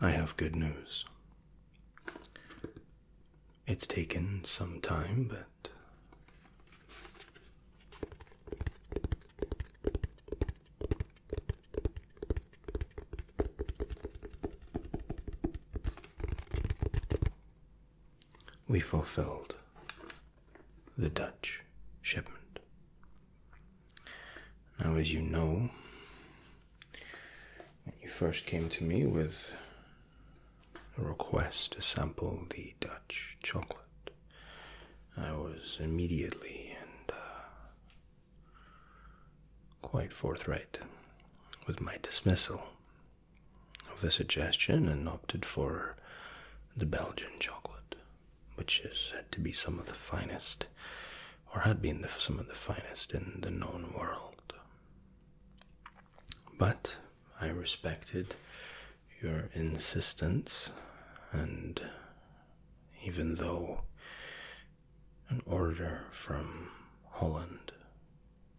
I have good news. It's taken some time, but we fulfilled the Dutch shipment now, as you know, when you first came to me with a request to sample the Dutch chocolate, I was immediately and uh, quite forthright with my dismissal of the suggestion and opted for the Belgian chocolate, which is said to be some of the finest or had been some of the finest in the known world. But I respected your insistence, and even though an order from Holland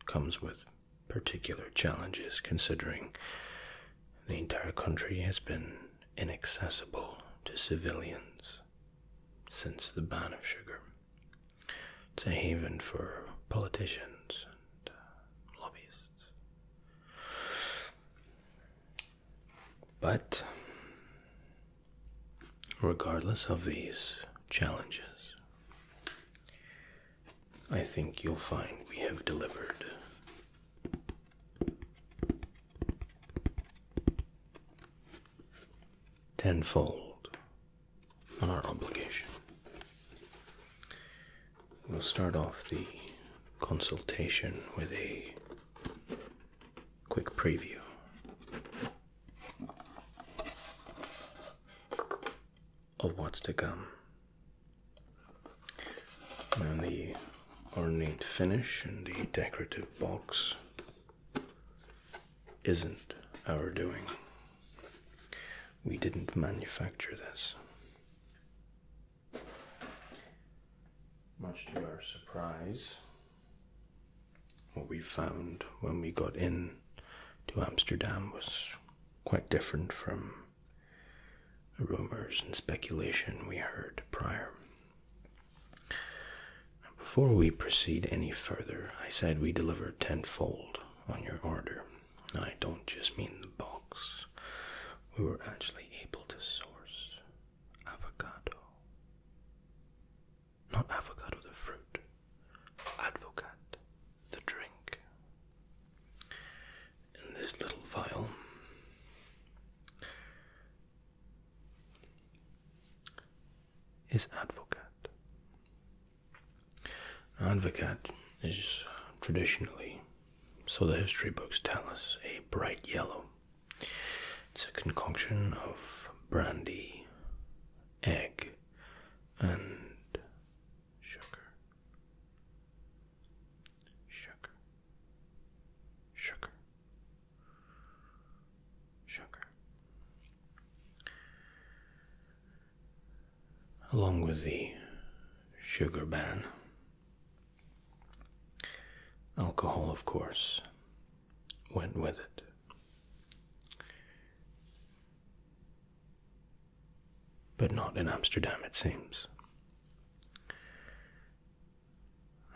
comes with particular challenges, considering the entire country has been inaccessible to civilians since the ban of sugar. It's a haven for politicians and uh, lobbyists. But regardless of these challenges, I think you'll find we have delivered tenfold on our obligation. We'll start off the consultation with a quick preview. Of what's to come. And the ornate finish and the decorative box isn't our doing. We didn't manufacture this. Much to our surprise, what we found when we got in to Amsterdam was quite different from the rumors and speculation we heard prior. Before we proceed any further, I said we deliver tenfold on your order. I don't just mean the box. We were actually able to source avocado. Not avocado, the fruit. Advocat, the drink. In this little vial, is advocate. Advocate is traditionally, so the history books tell us, a bright yellow. It's a concoction of brandy, egg, and sugar. Sugar. Sugar sugar. Along with the sugar ban, alcohol, of course, went with it. But not in Amsterdam, it seems.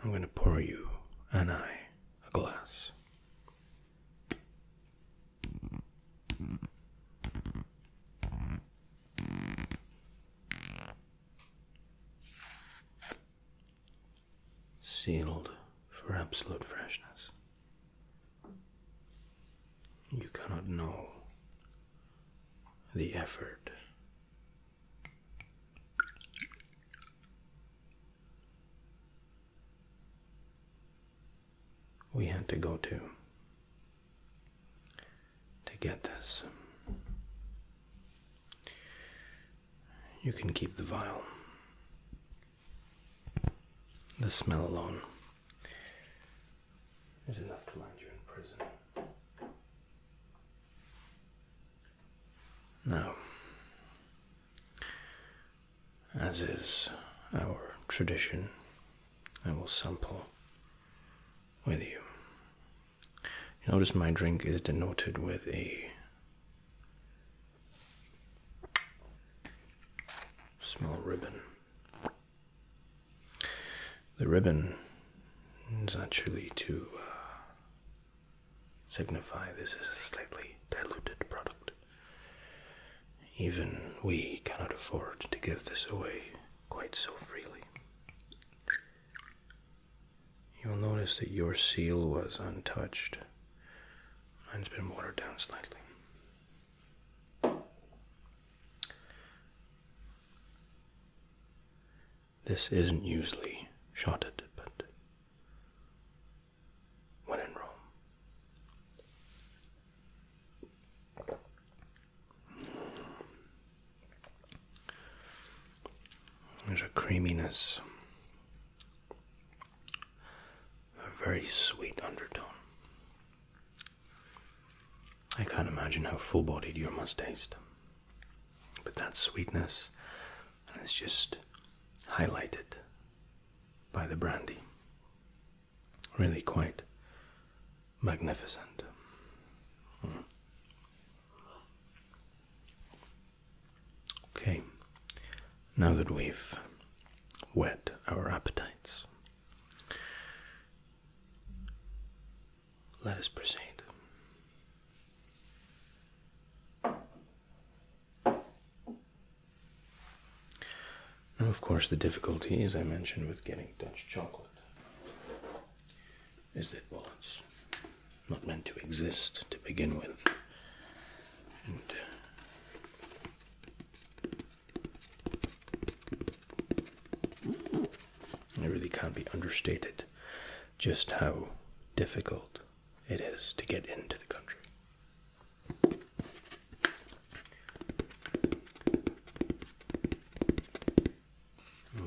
I'm going to pour you and I a glass. Sealed for absolute freshness. You cannot know the effort we had to go to to get this. You can keep the vial. The smell alone is enough to land you in prison. Now, as is our tradition, I will sample with you. notice my drink is denoted with a small ribbon. The ribbon is actually to uh, signify this is a slightly diluted product. Even we cannot afford to give this away quite so freely. You'll notice that your seal was untouched. Mine's been watered down slightly. This isn't usually shotted, but when in Rome. There's a creaminess, a very sweet undertone. I can't imagine how full bodied your must taste. But that sweetness and it's just highlighted by the brandy. Really quite magnificent. Hmm. Okay, now that we've whet our appetites, let us proceed now, of course, the difficulty, as I mentioned, with getting Dutch chocolate is that, well, it's not meant to exist to begin with. And uh, it really can't be understated just how difficult it is to get into the country.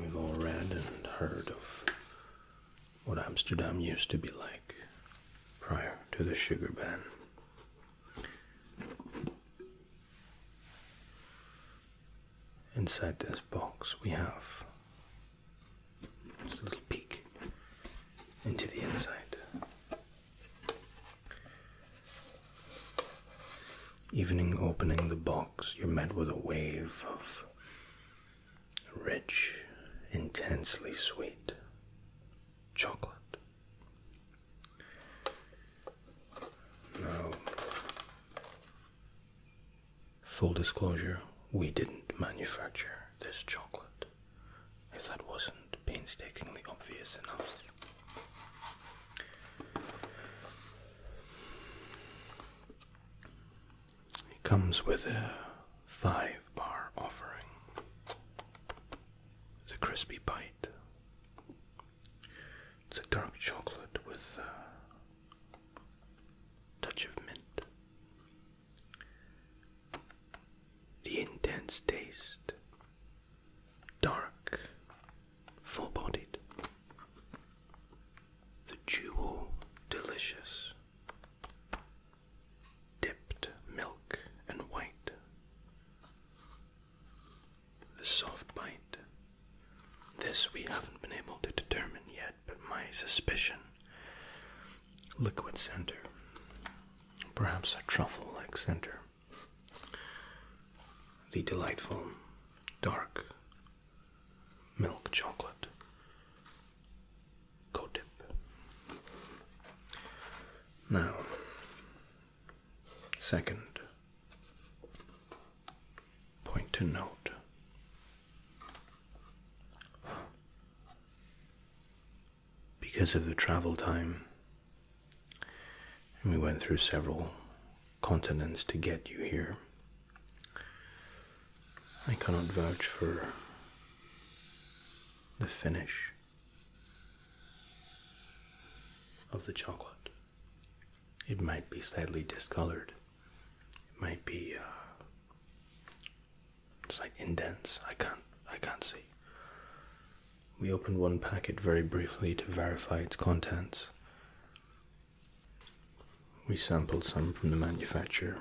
We've all read and heard of what Amsterdam used to be like prior to the sugar ban. Inside this box, we have just a little peek into the inside. Evening opening the box, you're met with a wave of rich, intensely sweet chocolate. Now, Full disclosure, we didn't manufacture this chocolate, if that wasn't painstakingly obvious enough. It comes with a five bar offering, the crispy bite. It's a dark chocolate with a touch of mint. The intense taste, dark, full bodied, the jewel delicious, dipped milk and white, the soft bite. This we haven't been able to determine yet but my suspicion. Liquid center. Perhaps a truffle like center. The delightful dark milk chocolate. Codip. Now, second point to note because of the travel time. And we went through several continents to get you here. I cannot vouch for the finish of the chocolate. It might be slightly discolored. It might be uh, it's like indents. I can't. I can't see. We opened one packet very briefly to verify its contents. We sampled some from the manufacturer.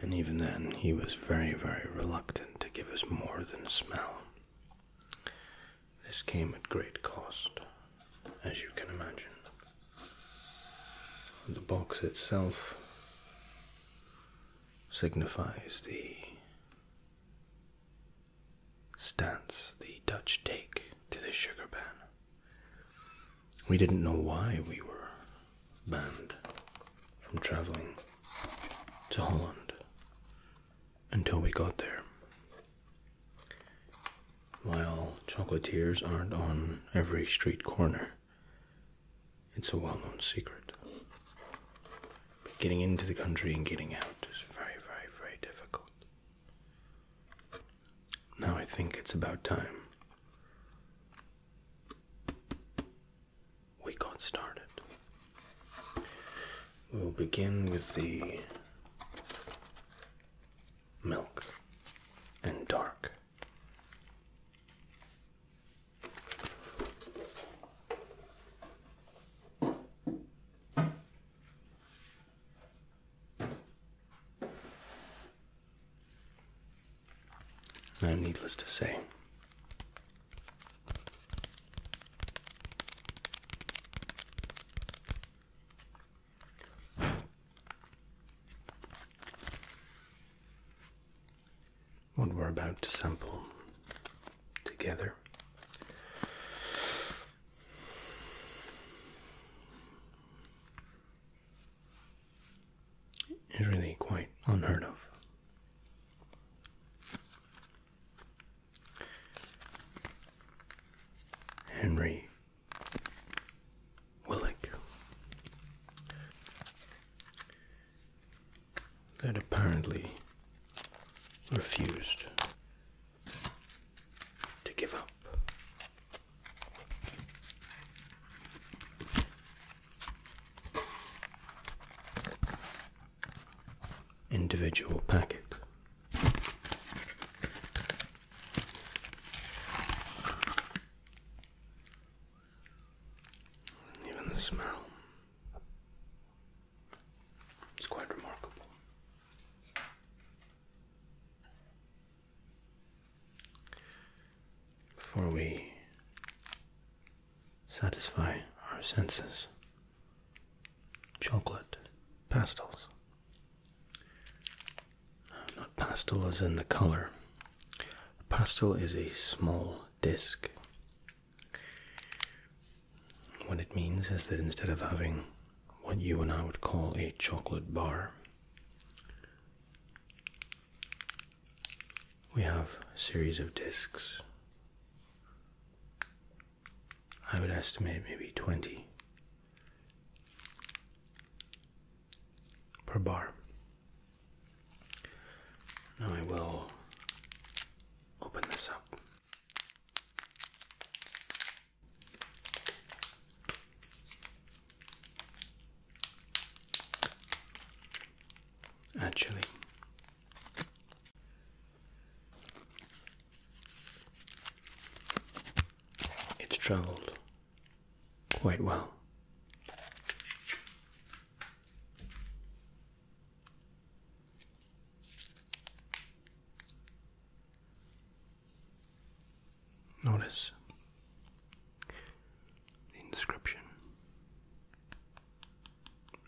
And even then, he was very, very reluctant to give us more than a smell. This came at great cost as you can imagine. The box itself signifies the stance the Dutch take to the sugar ban. We didn't know why we were banned from traveling to Holland until we got there. While chocolatiers aren't on every street corner, it's a well known secret. But getting into the country and getting out is very, very, very difficult. Now I think it's about time we got started. We'll begin with the milk and dark I'm needless to say, what we're about to sample together is really quite unheard of. Henry Willick. That apparently refused to give up. Individual packet even the smell. It's quite remarkable. Before we satisfy our senses, chocolate, pastels, not pastel is in the color. Pastel is a small disc. What it means is that instead of having what you and I would call a chocolate bar, we have a series of discs. I would estimate maybe 20 per bar. Now I will open this up. Actually, it's traveled quite well. Notice the inscription,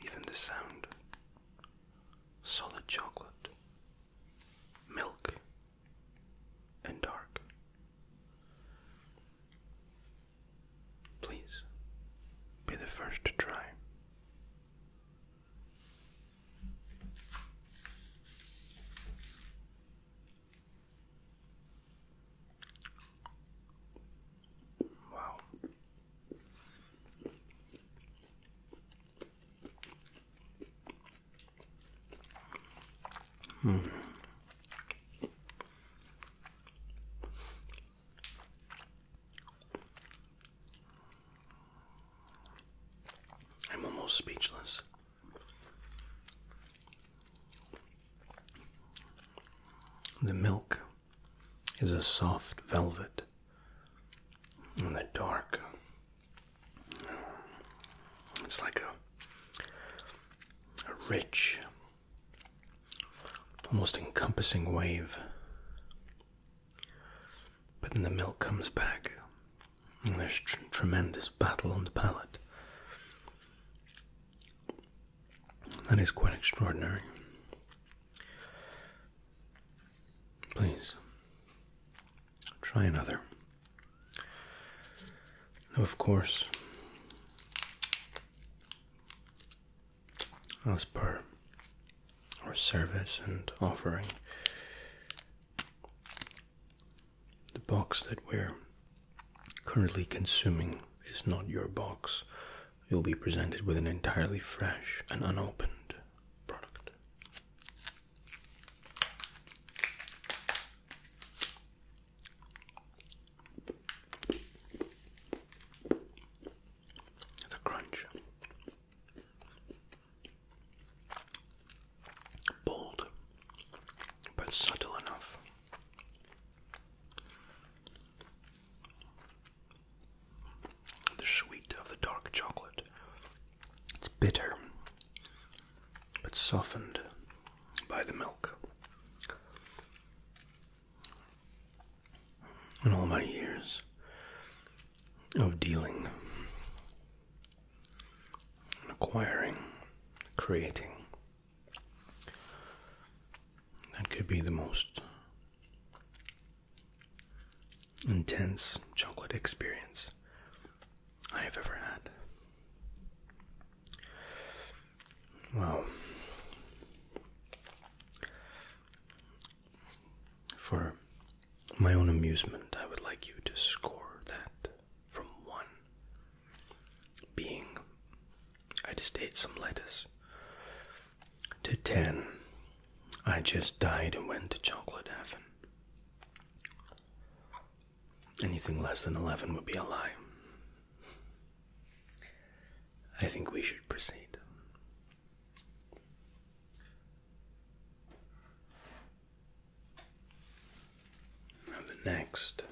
even the sound, solid chocolate, milk, and dark. Please be the first to try. Wow. Hmm. I'm almost speechless. The milk is a soft velvet, and the dark, it's like a, rich, almost encompassing wave. But then the milk comes back, and there's tremendous battle on the palate. That is quite extraordinary. Please try another. Of course, as per our service and offering, the box that we're currently consuming is not your box. You'll be presented with an entirely fresh and unopened product. The crunch. Bold, but subtle enough. The sweet of the dark chocolate it's bitter, but softened by the milk. In all my years of dealing and acquiring, creating, that could be the most intense chocolate experience I have ever had. Well, for my own amusement, I would like you to score that from one being, I just ate some lettuce, to ten, I just died and went to chocolate heaven. Anything less than 11 would be a lie. I think we should proceed. the next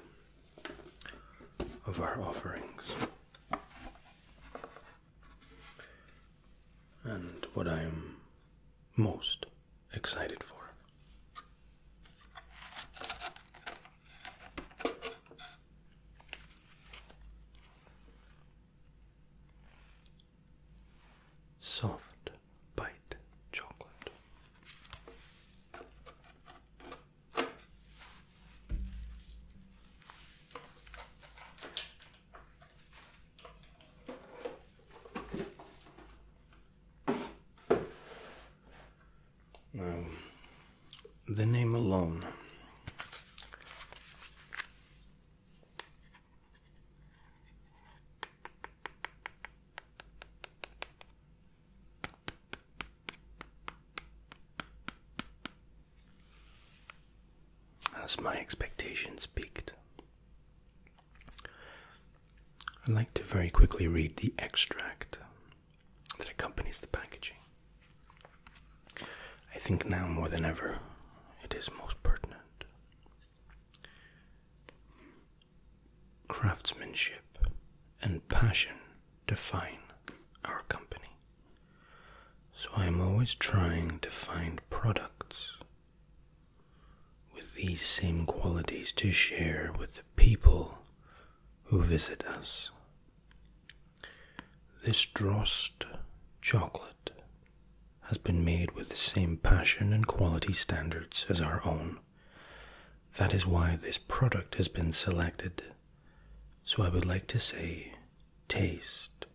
of our offerings, and what I am most excited for? Soft bite chocolate. Um, the name alone as my expectations peaked. I'd like to very quickly read the extract that accompanies the packaging. I think now more than ever it is most pertinent. Craftsmanship and passion define our company. So I am always trying to find products with these same qualities to share with the people who visit us. This drost chocolate has been made with the same passion and quality standards as our own. That is why this product has been selected. So I would like to say taste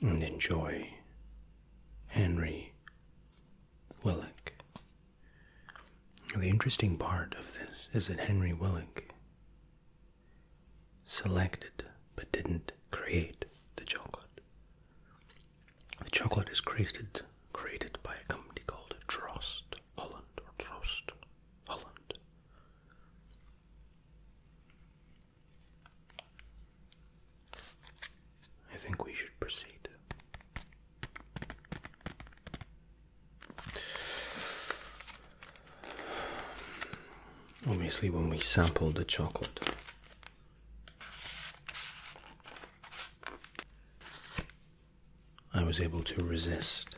and enjoy Henry Willick. The interesting part of this is that Henry Willick selected but didn't create the chocolate. The chocolate is created by a company called Trost Holland or Trost Holland. I think we should proceed. Obviously, when we sample the chocolate, I was able to resist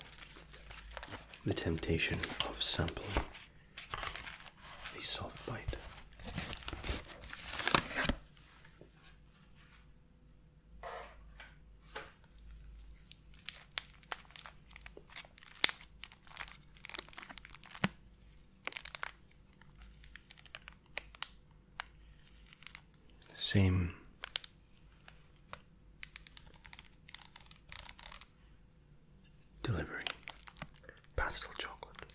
the temptation of sampling a soft bite. Same. Delivery pastel chocolate.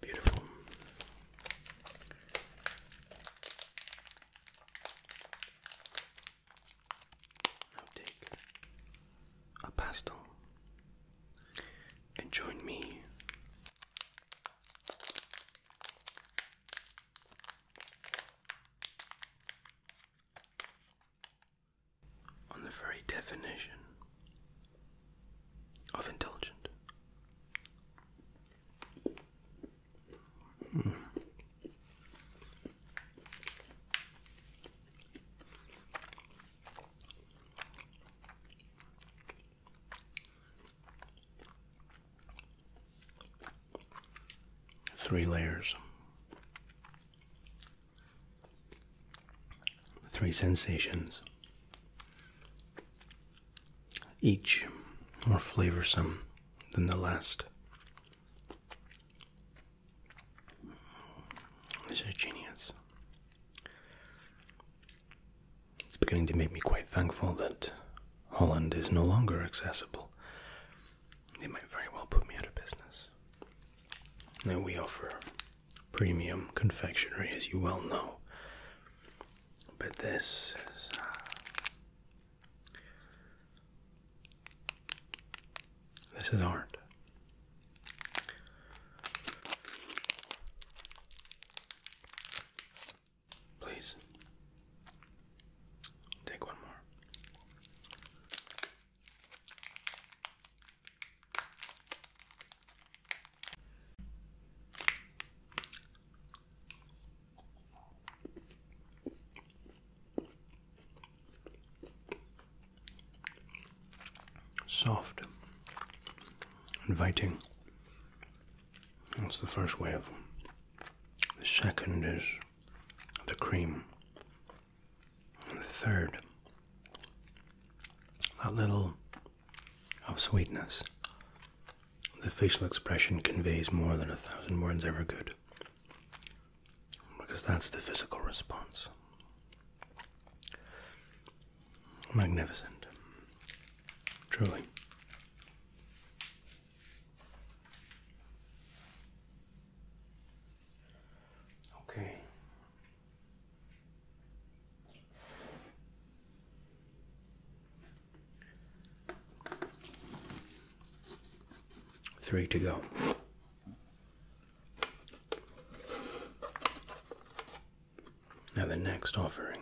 Beautiful. i take a pastel, and join me on the very definition of intelligent. Three layers, three sensations, each more flavorsome than the last. This is genius. It's beginning to make me quite thankful that Holland is no longer accessible. They might very well put me out of business. Now, we offer premium confectionery, as you well know, but this uh, this is art. Please take one more. Soft, inviting. That's the first wave. The second is the cream. And the third, that little of sweetness. The facial expression conveys more than a thousand words ever could. Because that's the physical response. Magnificent. Truly. Okay. Three to go. Now, the next offering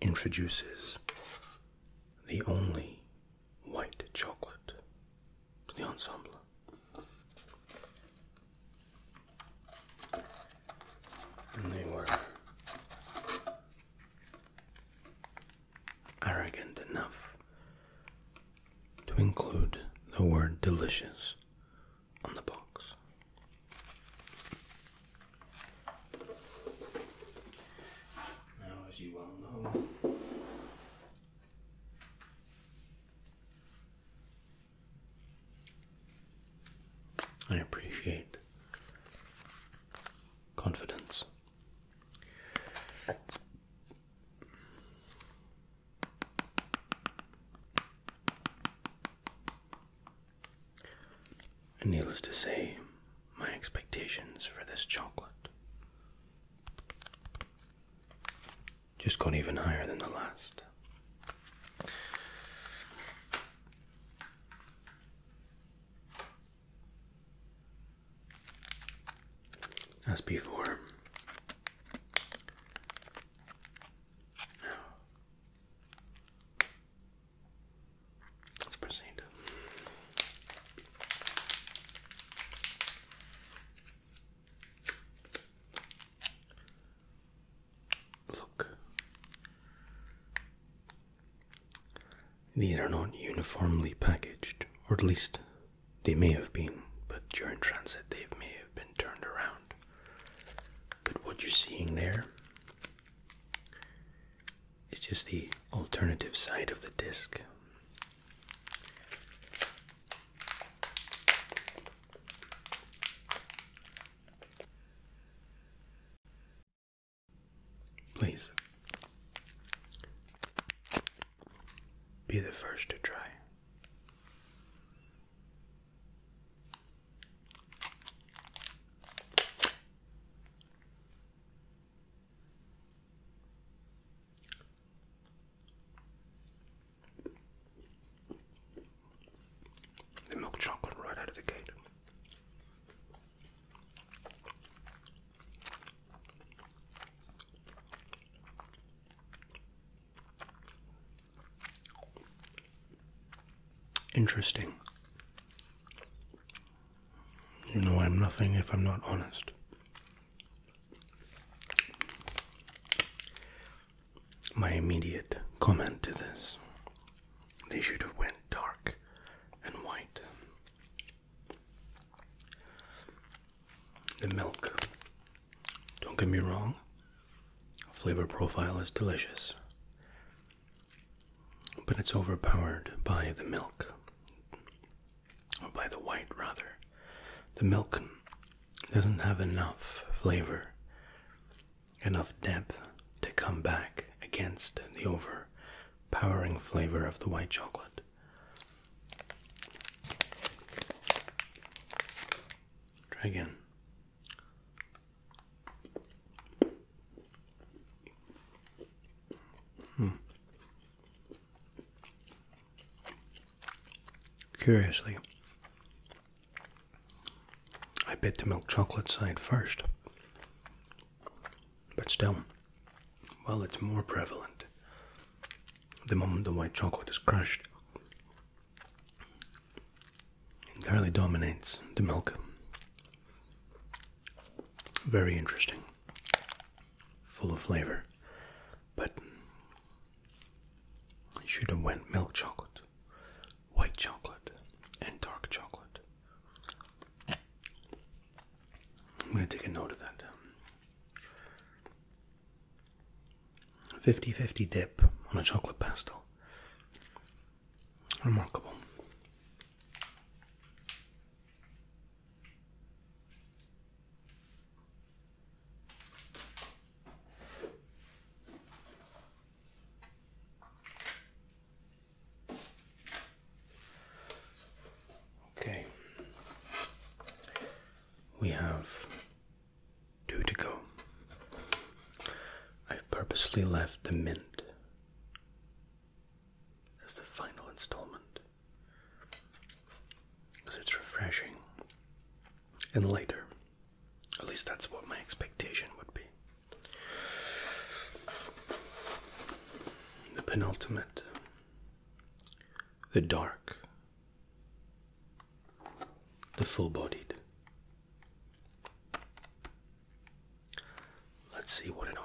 introduces the only white chocolate to the ensemble. And they were arrogant enough to include the word delicious on the box. Now, as you well know, I appreciate confidence. And needless to say, my expectations for this chocolate just got even higher than the last. As before, Let's proceed. Look, these are not uniformly packaged, or at least they may have been, but during transit they may have been turned around. But what you're seeing there is just the alternative side of the disc. Please be the first to try. The milk chocolate right out of the gate. Interesting. You know, I'm nothing if I'm not honest. My immediate comment to this they should have went dark and white. The milk don't get me wrong, flavor profile is delicious, but it's overpowered by the milk, or by the white rather. The milk doesn't have enough flavor, enough depth to come back against the overpowering flavor of the white chocolate. Try again. Hmm. Curiously, I bit the milk chocolate side first, but still, while it's more prevalent, the moment the white chocolate is crushed, entirely dominates the milk. Very interesting, full of flavor, but I should have went milk chocolate, white chocolate, and dark chocolate. I'm gonna take a note of that. 50 50 dip on a chocolate pastel. Remarkable. Okay, we have two to go. I've purposely left the mint as the final installment because it's refreshing and lighter. At least that's what my expectation would be. The penultimate, the dark the full bodied. Let's see what it offers.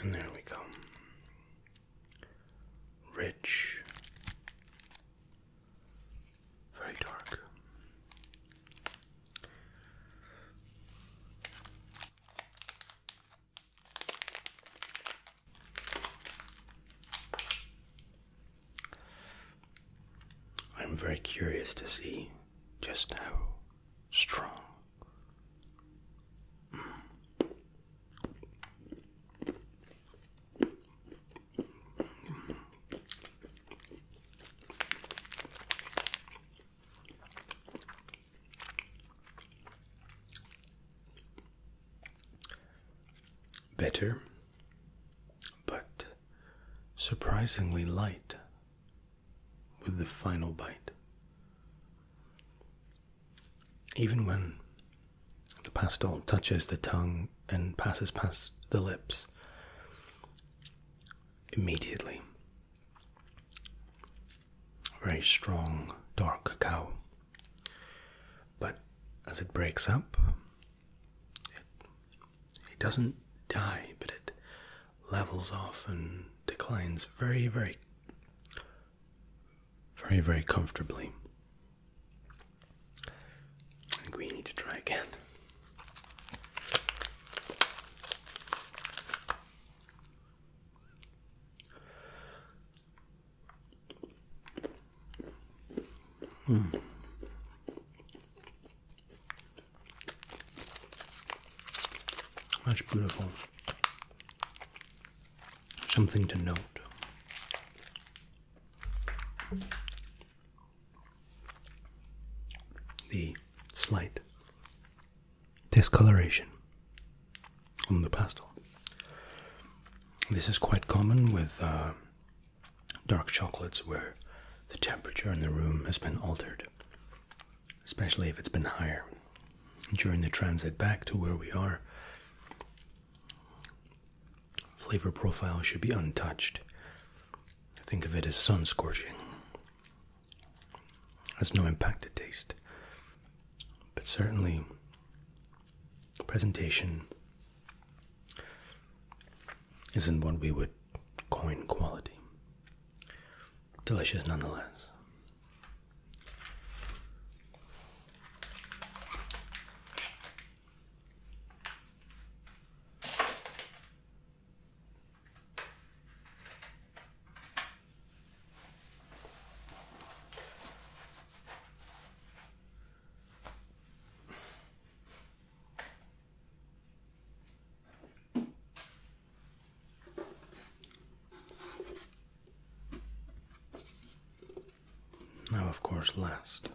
And there we go. Rich. Very dark. I'm very curious to see just how strong. Better, but surprisingly light with the final bite. Even when the pastel touches the tongue and passes past the lips, immediately, very strong dark cacao. But as it breaks up, it, it doesn't die, but it levels off and declines very, very, very, very comfortably. I think we need to try again. Hmm. That's beautiful. Something to note. The slight discoloration on the pastel. This is quite common with uh, dark chocolates where the temperature in the room has been altered especially if it's been higher during the transit back to where we are. Flavor profile should be untouched. Think of it as sun scorching. Has no impact to taste. But certainly, presentation isn't what we would coin quality delicious nonetheless. Now, of course, last.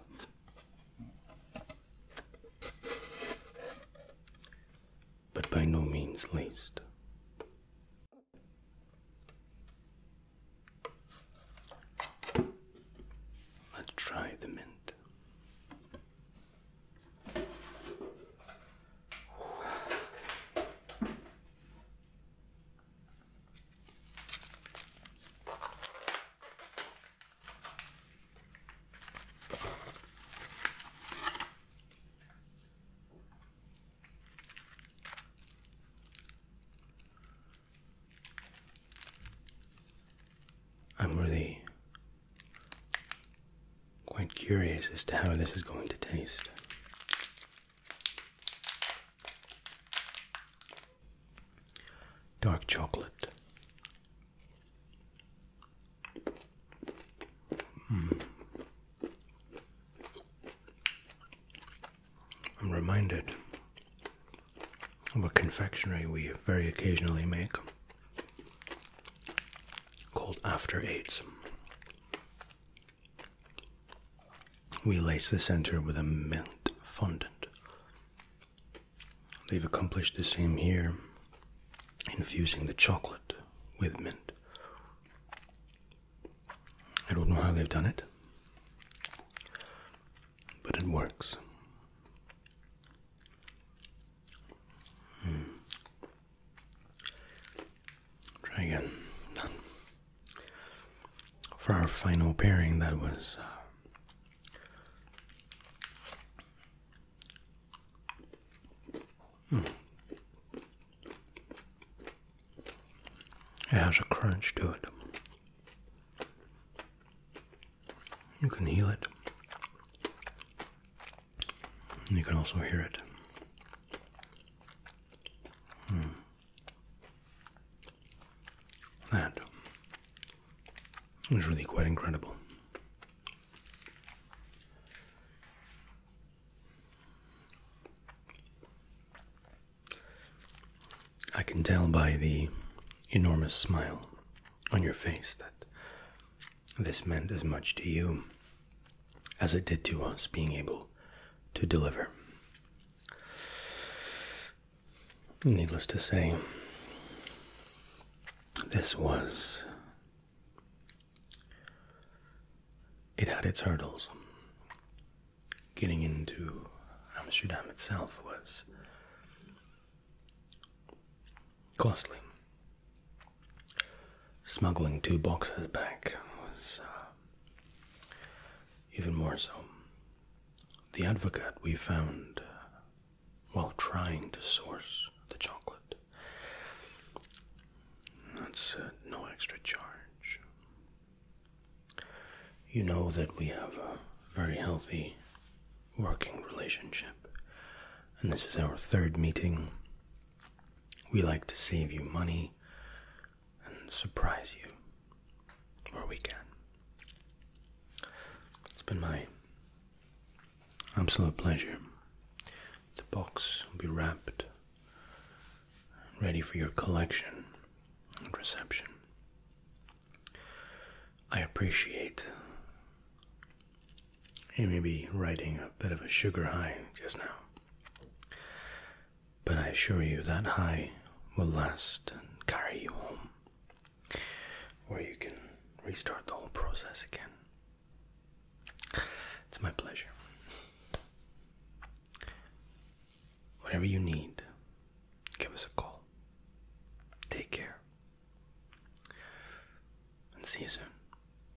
But by no means least. Let's try the mint. I'm really quite curious as to how this is going to taste. Dark chocolate. Hmm. I'm reminded of a confectionery we very occasionally make called After Eights. We lace the center with a mint fondant. They've accomplished the same here, infusing the chocolate with mint. I don't know how they've done it, but it works. Hmm. Try again. For our final pairing, that was. Uh, hmm. It has a crunch to it. You can heal it. You can also hear it. Hmm. That is really quite incredible. I can tell by the enormous smile on your face that this meant as much to you as it did to us being able to deliver. Needless to say, this was. It had its hurdles. Getting into Amsterdam itself was costly smuggling two boxes back was uh, even more so. The advocate we found uh, while trying to source the chocolate. That's uh, no extra charge. You know that we have a very healthy working relationship, and this is our third meeting we like to save you money and surprise you where we can. It's been my absolute pleasure. The box will be wrapped, ready for your collection and reception. I appreciate you may be riding a bit of a sugar high just now. But I assure you that high will last and carry you home, where you can restart the whole process again. It's my pleasure. Whatever you need, give us a call. Take care. And see you soon.